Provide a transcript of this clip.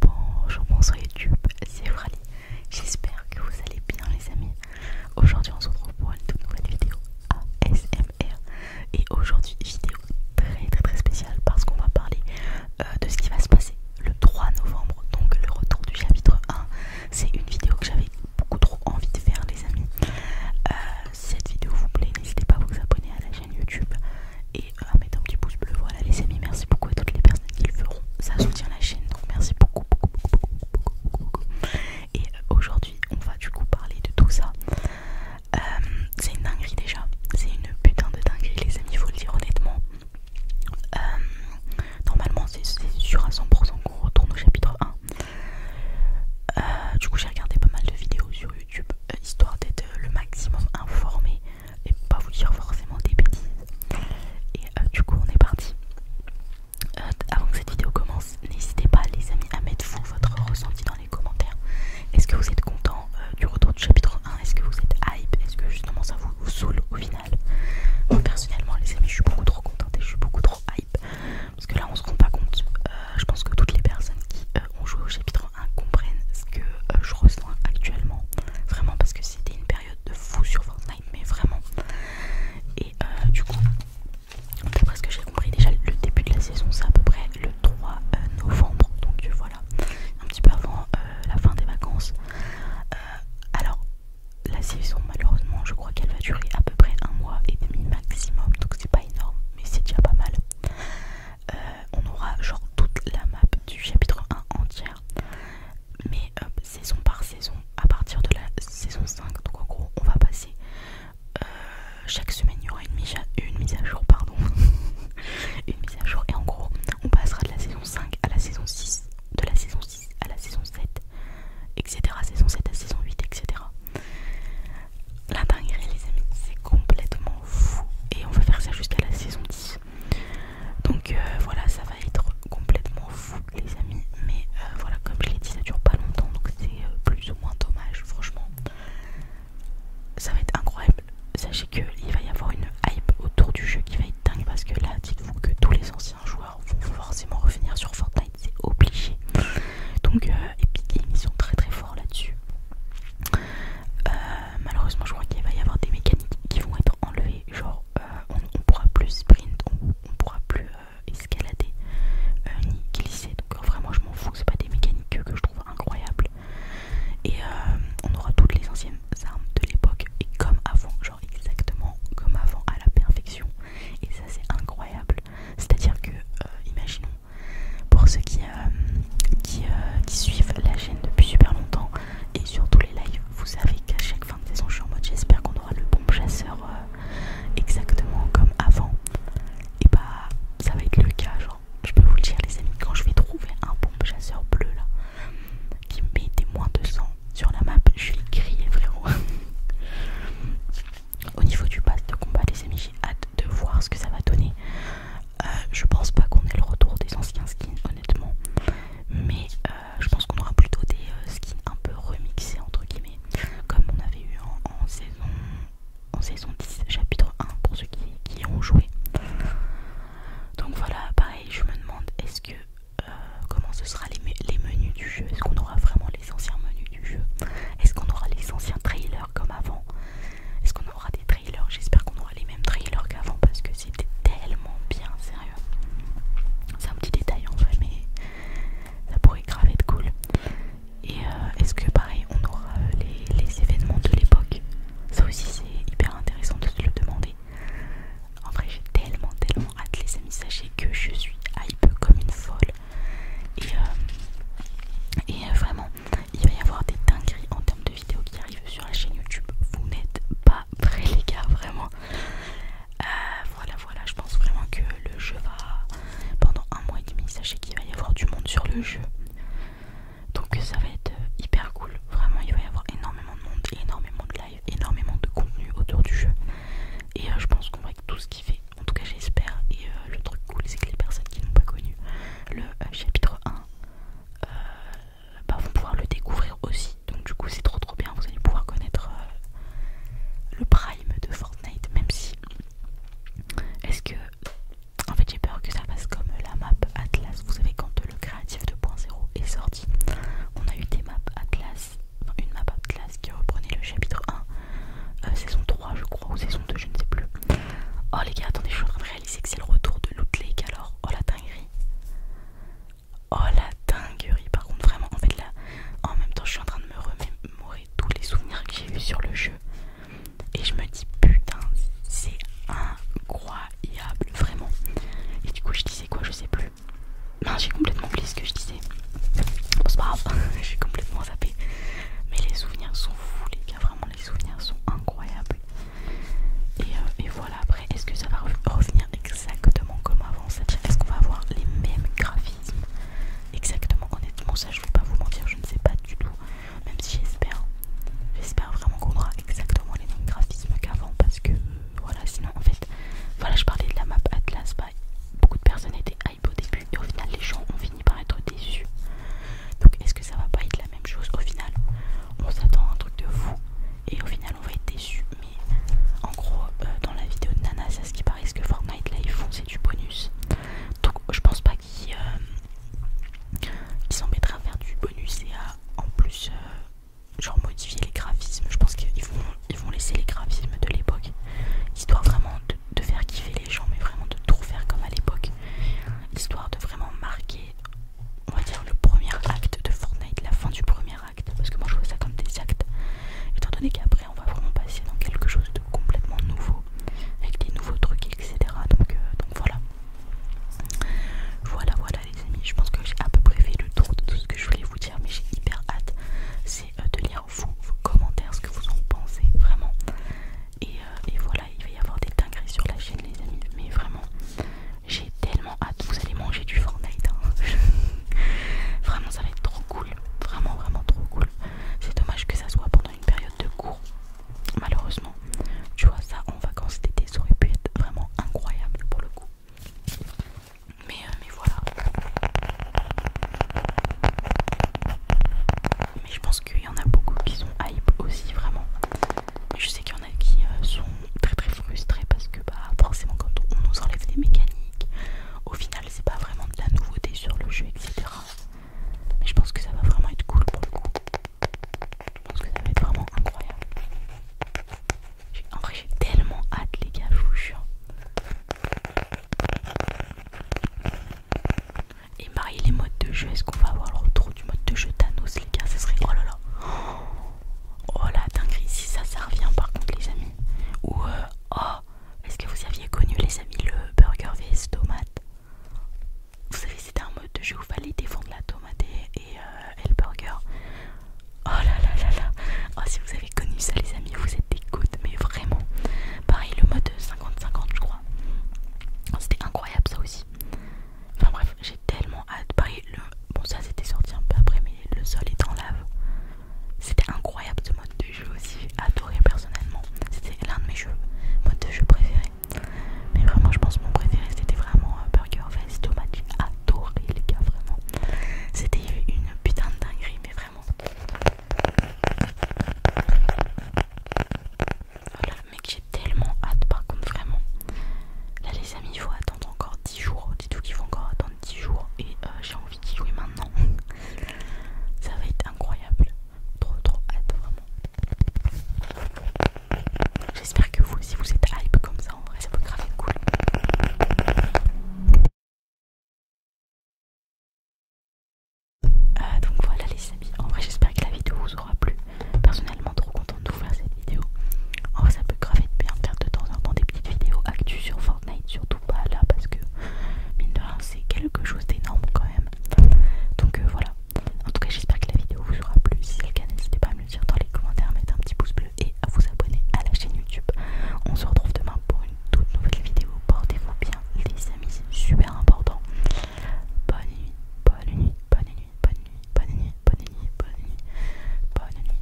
Bonjour, bonsoir YouTube, c'est Frali. J'espère que vous allez bien, les amis. Aujourd'hui, on se retrouve pour une toute nouvelle vidéo ASMR. Et aujourd'hui, vidéo très très très spéciale parce qu'on va parler euh, de ce qui va se passer le 3 novembre, donc le retour du chapitre 1. C'est une vidéo que j'avais beaucoup trop envie de faire, les amis. Euh, si cette vidéo vous plaît, n'hésitez pas à vous abonner à la chaîne YouTube et euh, à mettre un petit pouce bleu. Voilà les amis, merci beaucoup à toutes les personnes qui le feront. Ça soutient la chaîne, donc merci beaucoup, beaucoup, beaucoup, beaucoup, beaucoup, Et euh, aujourd'hui, on va du coup parler de tout ça. Euh, c'est une dinguerie déjà, c'est une putain de dinguerie les amis, faut le dire honnêtement. normalement, c'est sur à 100% qu'on retourne au chapitre 1. du coup, j'ai regardé pas mal de vidéos sur histoire d'être le maximum informé et pas vous dire forcément des bêtises. Et euh, du coup, on est parti. Euh, avant que cette vidéo commence, n'hésitez pas, les amis, à mettre vous votre ressenti dans les commentaires. Est-ce que vous êtes content euh, du retour du chapitre 1 Est-ce que vous êtes hype Est-ce que justement ça vous, saoule au final Moi personnellement, les amis, je suis beaucoup trop contente et je suis beaucoup trop hype parce que là, on se rend pas compte je pense que toutes les personnes qui euh, ont joué au chapitre 1 comprennent ce que euh, je ressens actuellement. Vraiment, parce que c'était une période de fou sur Fortnite, mais vraiment. Et euh, du coup, d'après ce que j'ai compris, déjà le début de la saison, c'est à peu près le 3 novembre. Donc voilà, un petit peu avant la fin des vacances. alors, la saison, malheureusement, je crois qu'elle va durer à peu près un mois et demi maximum, donc c'est pas énorme, mais c'est déjà pas mal. Euh, on aura genre toute la map du chapitre 1 entière, mais euh, saison par saison, à partir de la saison 5. Donc en gros, on va passer euh, chaque semaine, il y aura une mise à, jour, pardon, une mise à jour. Et en gros, on passera de la saison 5 à la saison 6, de la saison 6 à la saison 7, etc. Saison 7 à saison 8, etc. La dinguerie, les amis, c'est complètement fou. Et on va faire ça jusqu'à la saison 10. Donc euh, voilà, ça va être complètement fou, les amis. Mais euh, voilà, comme je l'ai dit, ça dure pas longtemps. Donc c'est euh, plus ou moins dommage, franchement. Ça va être incroyable. Sachez qu'il va y avoir une hype autour du jeu qui va être dingue. Parce que là, dites-vous que tous les anciens joueurs vont forcément revenir sur Fortnite c'est obligé. Donc, euh, Epic Games, ils très très forts là-dessus. Euh, malheureusement, je crois qu'il va y avoir des mécaniques qui vont être enlevées. Genre, euh, on pourra plus sprint, on ne pourra plus euh, escalader ni glisser. Donc, vraiment, je m'en fous, c'est pas des mécaniques que, je trouve incroyables. Et on aura toutes les anciennes armes de l'époque et comme avant, genre exactement comme avant à la perfection. Et ça, c'est incroyable. C'est-à-dire que, euh, imaginons, pour ceux euh, euh, qui, suivent la chaîne depuis super longtemps et surtout les lives, vous savez qu'à chaque fin de saison, je suis en mode j'espère qu'on aura le bombe chasseur exactement comme avant. Et bah, ça va être le cas, genre, je peux vous le dire, les amis, quand je vais trouver un bombe chasseur bleu là, qui met des moins de sang, sur la map, je suis grillé frérot. Au niveau du pass de combat, les amis, j'ai hâte de voir ce que ça va donner. Euh, je pense pas qu'on ait le retour des anciens skins, honnêtement, mais euh, je pense qu'on aura plutôt des euh, skins un peu remixés, entre guillemets, comme on avait eu en, saison, en saison 10, chapitre 1, pour ceux qui, qui ont joué. Donc voilà, pareil, je me demande est-ce que euh, comment ce sera les, menus du jeu. Est-ce qu'on aura vraiment les anciens menus du jeu Est-ce qu'on aura les anciens trailers comme avant Est-ce qu'on aura des trailers J'espère qu'on aura les mêmes trailers qu'avant parce que c'était tellement bien, sérieux. C'est un petit détail en fait mais ça pourrait grave être cool. Et euh, est-ce que pareil, on aura euh, les, les événements de l'époque Ça aussi, c'est hyper intéressant de se le demander. En vrai, j'ai tellement, tellement hâte, les amis. Sachez que je suis hype comme une folle. Et, euh, euh, vraiment, il va y avoir des dingueries en termes de vidéos qui arrivent sur la chaîne YouTube. Vous n'êtes pas prêts, les gars, vraiment. Euh, voilà, voilà, je pense vraiment que le jeu va. Pendant un mois et demi, sachez qu'il va y avoir du monde sur le jeu. Donc ça va être hyper cool. Vraiment, il va y avoir énormément de monde, et énormément de énormément de contenu autour du jeu. Et euh, je pense qu'on va tout ce qu'il fait, en tout cas j'espère. Et euh, le truc cool, c'est que les personnes qui n'ont pas connu le euh, chapitre 1 bah, vont pouvoir le découvrir aussi. Donc du coup c'est trop trop bien, vous allez pouvoir connaître le prime de Fortnite, même si... Est-ce que... En fait j'ai peur que ça fasse comme la map Atlas, vous savez quand le créatif 2.0 est sorti, on a eu des maps Atlas, Non une map Atlas qui reprenait le chapitre 1, euh, saison 3 je crois, ou saison 2, je ne sais plus. Oh les gars, attendez, je suis en train de réaliser que c'est le retour de Loot Lake alors, oh la dinguerie. Oh la dinguerie, par contre vraiment, en fait là, en même temps je suis en train de me remémorer tous les souvenirs que j'ai eu sur le jeu. Et je me dis putain, c'est incroyable vraiment. Et du coup je disais quoi je sais plus. Non j'ai complètement oublié ce que je disais. c'est pas grave, je suis complètement zappé. Mais les souvenirs sont fous les gars, vraiment les souvenirs sont incroyables. Et, euh, voilà après est-ce que ça va revenir exactement comme avant C'est-à-dire est-ce qu'on va avoir les mêmes graphismes Exactement honnêtement ça je vais pas vous mentir je ne sais pas du tout. Même si j'espère, j'espère vraiment qu'on aura exactement les mêmes graphismes qu'avant parce que euh, voilà, sinon en fait, voilà, je parlais de la map Atlas, bah, beaucoup de personnes étaient hype au début et au final les gens ont fini par être déçus. Donc est-ce que ça va pas être la même chose au final On s'attend à un truc de fou et au final on va être déçus Mais en gros, euh, dans la vidéo de Nana, c'est ce qui paraît, ce que Fortnite là ils font c'est du bonus donc je pense pas qu'ils s'embêtent euh, s'embêteraient à faire du bonus et à en plus euh, genre modifier les graphismes je pense qu'ils vont, ils vont laisser les graphismes de l'époque histoire vraiment de, de faire kiffer les gens mais vraiment de tout faire comme à l'époque histoire de vraiment marquer on va dire le premier acte de Fortnite la fin du premier acte parce que moi je vois ça comme des actes étant donné qu'après on va vraiment passer dans quelque chose de complètement nouveau avec des nouveaux trucs, etc. Euh, donc, voilà. Voilà, voilà les amis, je pense que j'ai à peu près fait le tour de tout ce que je voulais vous dire, mais j'ai hyper hâte, c'est euh, de lire vos commentaires, ce que vous en pensez, vraiment. Euh, et, voilà, il va y avoir des dingueries sur la chaîne les amis, mais vraiment, j'ai tellement hâte, vous allez manger du Fortnite, hein. vraiment ça va être trop cool, vraiment vraiment trop cool. C'est dommage que ça soit pendant une période de cours, malheureusement. Tu vois, ça en vacances d'été, ça aurait pu être vraiment incroyable pour le coup. Mais, euh, voilà. Mais je pense qu'il y en a beaucoup qui sont hype aussi, vraiment. Je sais qu'il y en a qui euh, sont très très frustrés parce que, bah, forcément, quand on nous enlève des mécaniques, au final, c'est pas vraiment de la nouveauté sur le jeu, etc je pense que ça va vraiment être cool pour le coup. Je pense que ça va être vraiment incroyable. En vrai, j'ai tellement hâte, les gars, je vous jure. Et marier les modes de jeu, est-ce qu'on va avoir le retour du mode de jeu Thanos, les gars Ça serait. Oh là là Oh la dinguerie, si ça, ça revient par contre, les amis. Ou. Euh... Oh est-ce que vous aviez connu, les amis, le burger vs tomate Vous savez, c'était un mode de jeu où il fallait défendre la tomate et, euh, le burger. Oh là là là là Oh, si vous avez connu ça, les amis, vous êtes des gouttes, mais vraiment. Pareil, le mode 50-50, je crois. Oh, c'était incroyable, ça aussi. Enfin bref, j'ai tellement hâte. Pareil, le... bon, ça c'était sorti un peu après, mais le sol est en lave. C'était incroyable ce mode de jeu aussi, adoré personnellement. C'était l'un de mes jeux, mode de jeu préféré. Mais vraiment, je pense que mon préféré c'était vraiment euh, Burger Fest Tomate, J'ai adoré les gars, vraiment. C'était une putain de dinguerie, mais vraiment. Voilà, mec, j'ai tellement hâte par contre, vraiment. Là, les amis, il faut attendre encore 10 jours. Dites-vous qu'il faut encore attendre 10 jours et euh, j'ai envie d'y jouer maintenant. Ça va être incroyable. Trop trop hâte vraiment. J'espère que vous aussi vous êtes hype comme ça en vrai, ça peut grave cool. Euh, donc voilà les amis, en vrai j'espère que la vidéo vous aura plu. Personnellement trop contente de vous faire cette vidéo. En vrai ça peut grave bien en faire de temps en temps des petites vidéos actus sur surtout pas là parce que mine de rien c'est quelque chose d'énorme quand même. Donc euh, voilà. En tout cas j'espère que la vidéo vous aura plu. Si c'est le cas n'hésitez pas à me le dire dans les commentaires, mettre un petit pouce bleu et à vous abonner à la chaîne YouTube. On se retrouve demain pour une toute nouvelle vidéo. Portez-vous bien les amis, c'est super important. Bonne bonne nuit, bonne nuit, bonne nuit, bonne nuit, bonne nuit, bonne nuit, bonne nuit. Bonne nuit.